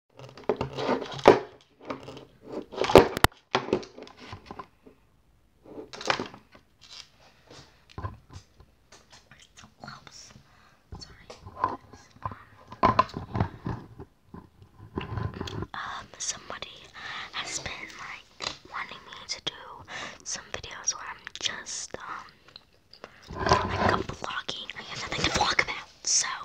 Oops. Sorry. Um, somebody has been like wanting me to do some videos where I'm just um like vlogging. I have nothing to vlog about, so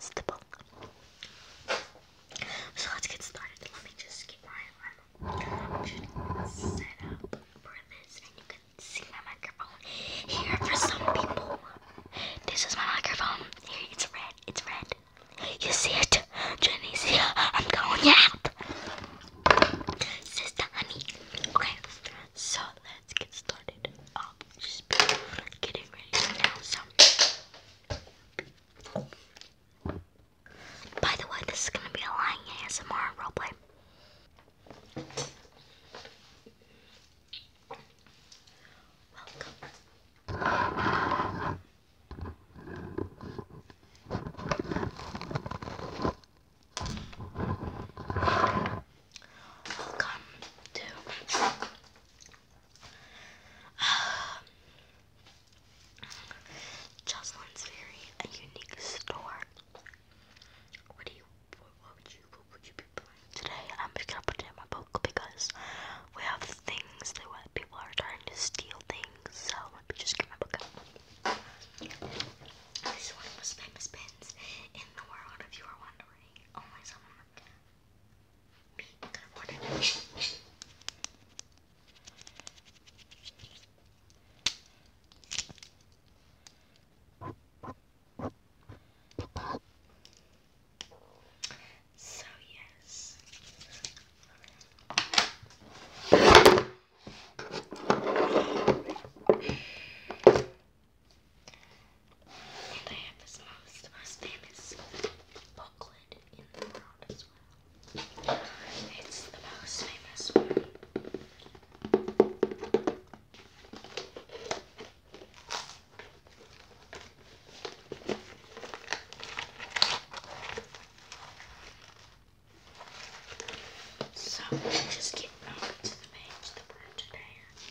So let's get started. Let me just get my alarm for this, and you can see my microphone here for some people. This is my microphone. Here, it's red. It's red. You see it, Jenny? See, I'm going out. Sister, Okay, so let's get started. Um, just getting ready now. So by the way, this is gonna be a lying ASMR roleplay. Welcome. Welcome to Jocelyn's very a unique store. today? I'm just gonna put it in my book because we have things that people are trying to steal things. So let me just get my book out. This one of the famous pins in the world, if you are wondering. Only oh someone Good morning. So, yes, and I have his most, most famous booklet in the world as well. It's the most famous one. So, just get over the page today.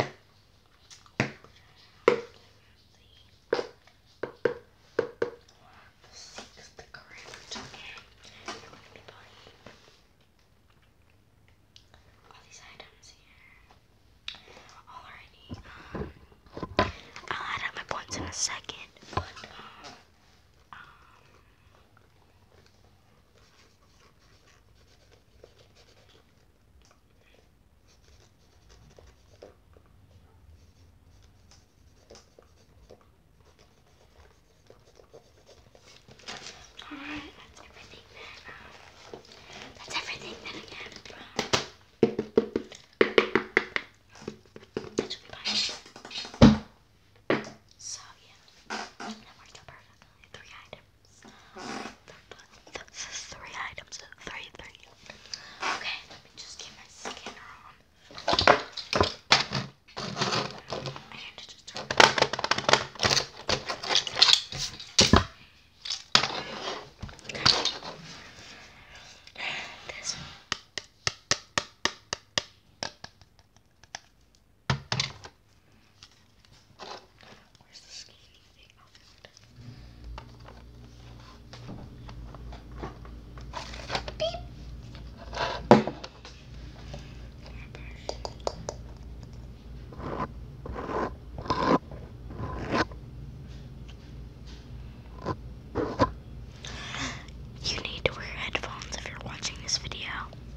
i all these items here. will add up my points in a second, um, um, all right, that's everything. Um, that's everything that I have from. That should be fine. So yeah, that worked out perfectly. Three items. three items. Three, three. Okay, let me just get my scanner on. And just turn it on. Beep. You need to wear headphones if you're watching this video.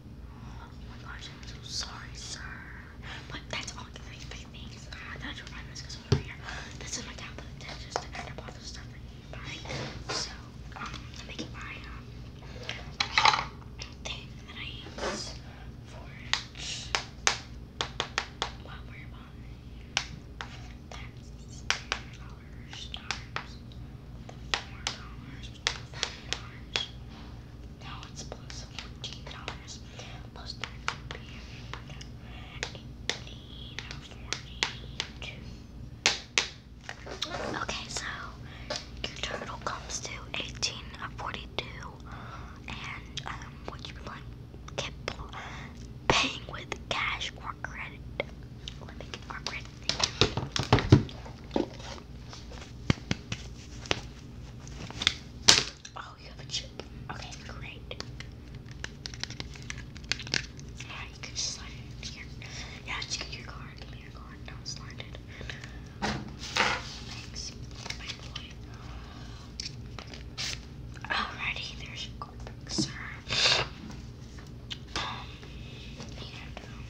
Oh I'm so sorry, sir. But that's all three big things. God, that's what I'm over here. This is my tablet just to add up all the stuff that So, um, I'm making my um thing that I use four dollars, now it's plus fourteen dollars. Plus that would Okay, so your total comes to eighteen forty-two, and um, what you can like keep paying with cash or credit. Let me get our credit Oh, you have a chip. Okay, great. Yeah, you can slide it here. Yeah, just your card. Give me card. do slide it. Thanks, my boy. Alrighty, there's your card, sir. um, um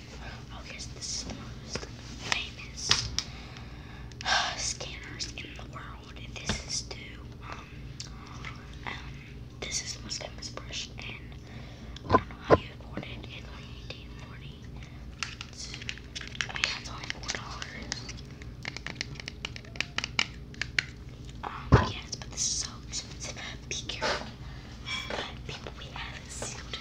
I guess this is the most famous uh, scanners in the world. This is to um, um this is the most famous brush and I don't know how you afford it. It's only eighteen forty. It's, I mean that's only four dollars. Um yes, but this is so expensive. Be careful. people we have sealed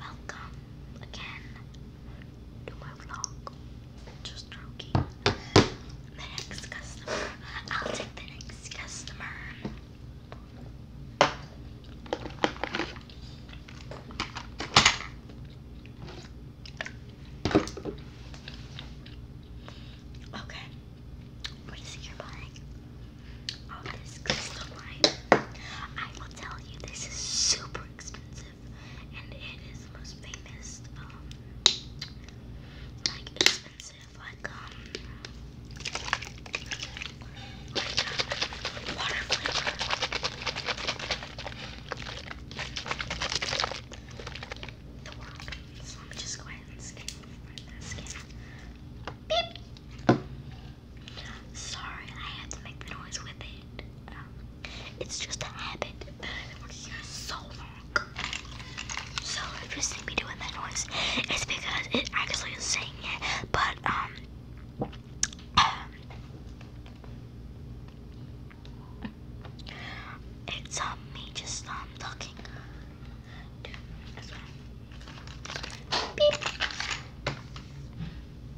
Welcome again to my vlog. Just joking. The next customer. I'll take the next customer. Okay. What is it you're buying? Oh, this crystal line. I will tell you, this is super expensive, and it is the most famous, um, like expensive, like um, like um, water flavor. The world. So let me just go ahead and scan my Beep. Sorry, I had to make the noise with it. Um, it's just a habit that i here so long. So if you see me doing that noise, it's because it actually is saying it. But um, um it's on um, me just stop talking.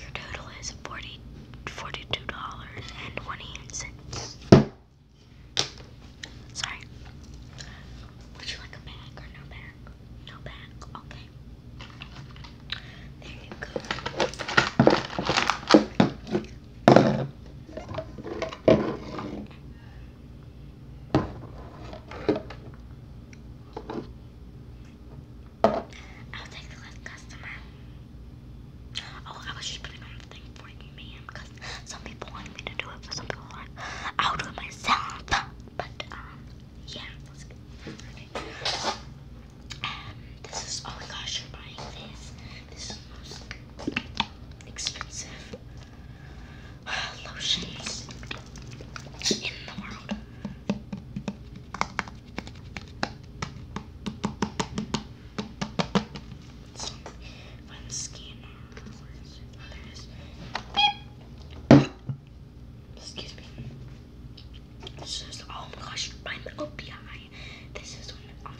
Your total is 40, $42.28. Sorry. Would you like a bag or no bag? No bag. Okay. There you go. I'll take the last customer. Oh, I was just putting on the thing for you, man, because some people want me to do it, but some people want I'll do it myself. But um, yeah, um, this is oh my gosh, you're buying this. This is the most expensive uh, lotions in the world. Excuse me. This is oh my gosh, I'm OPI. This is one, um,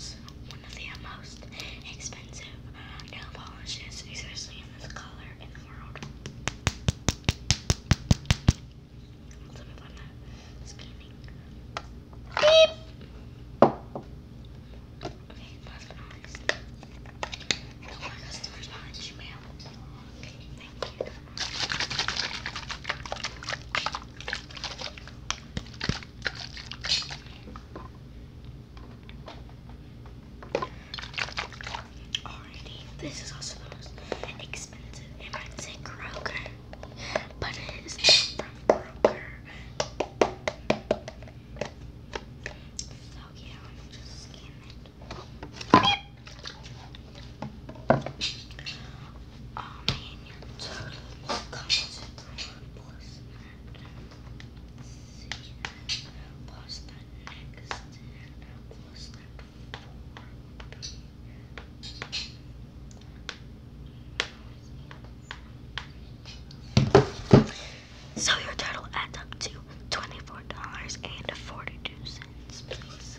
one of the most expensive uh, nail polishes, especially in this color in the world. Beep! Okay, last but not least. No customers behind you, ma'am. Okay, thank you. Already, this is also the most expensive. i might say Kroger, but it is not from Kroger. So yeah, let me just scan Oh man, your total comes plus so your total adds up to twenty-four dollars and forty-two cents, please.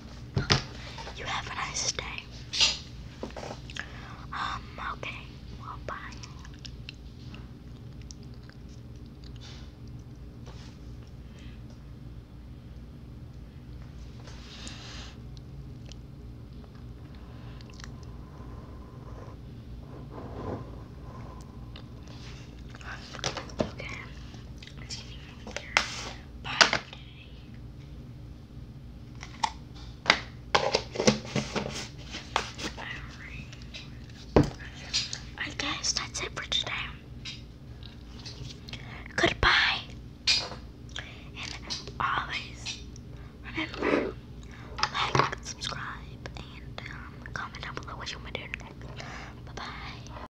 You have a nice day. Um, okay. bye. Okay. It's Bye. I guess that's it for today. Goodbye. And always remember, like, subscribe, and um, comment down below what you want me to do next. Bye-bye.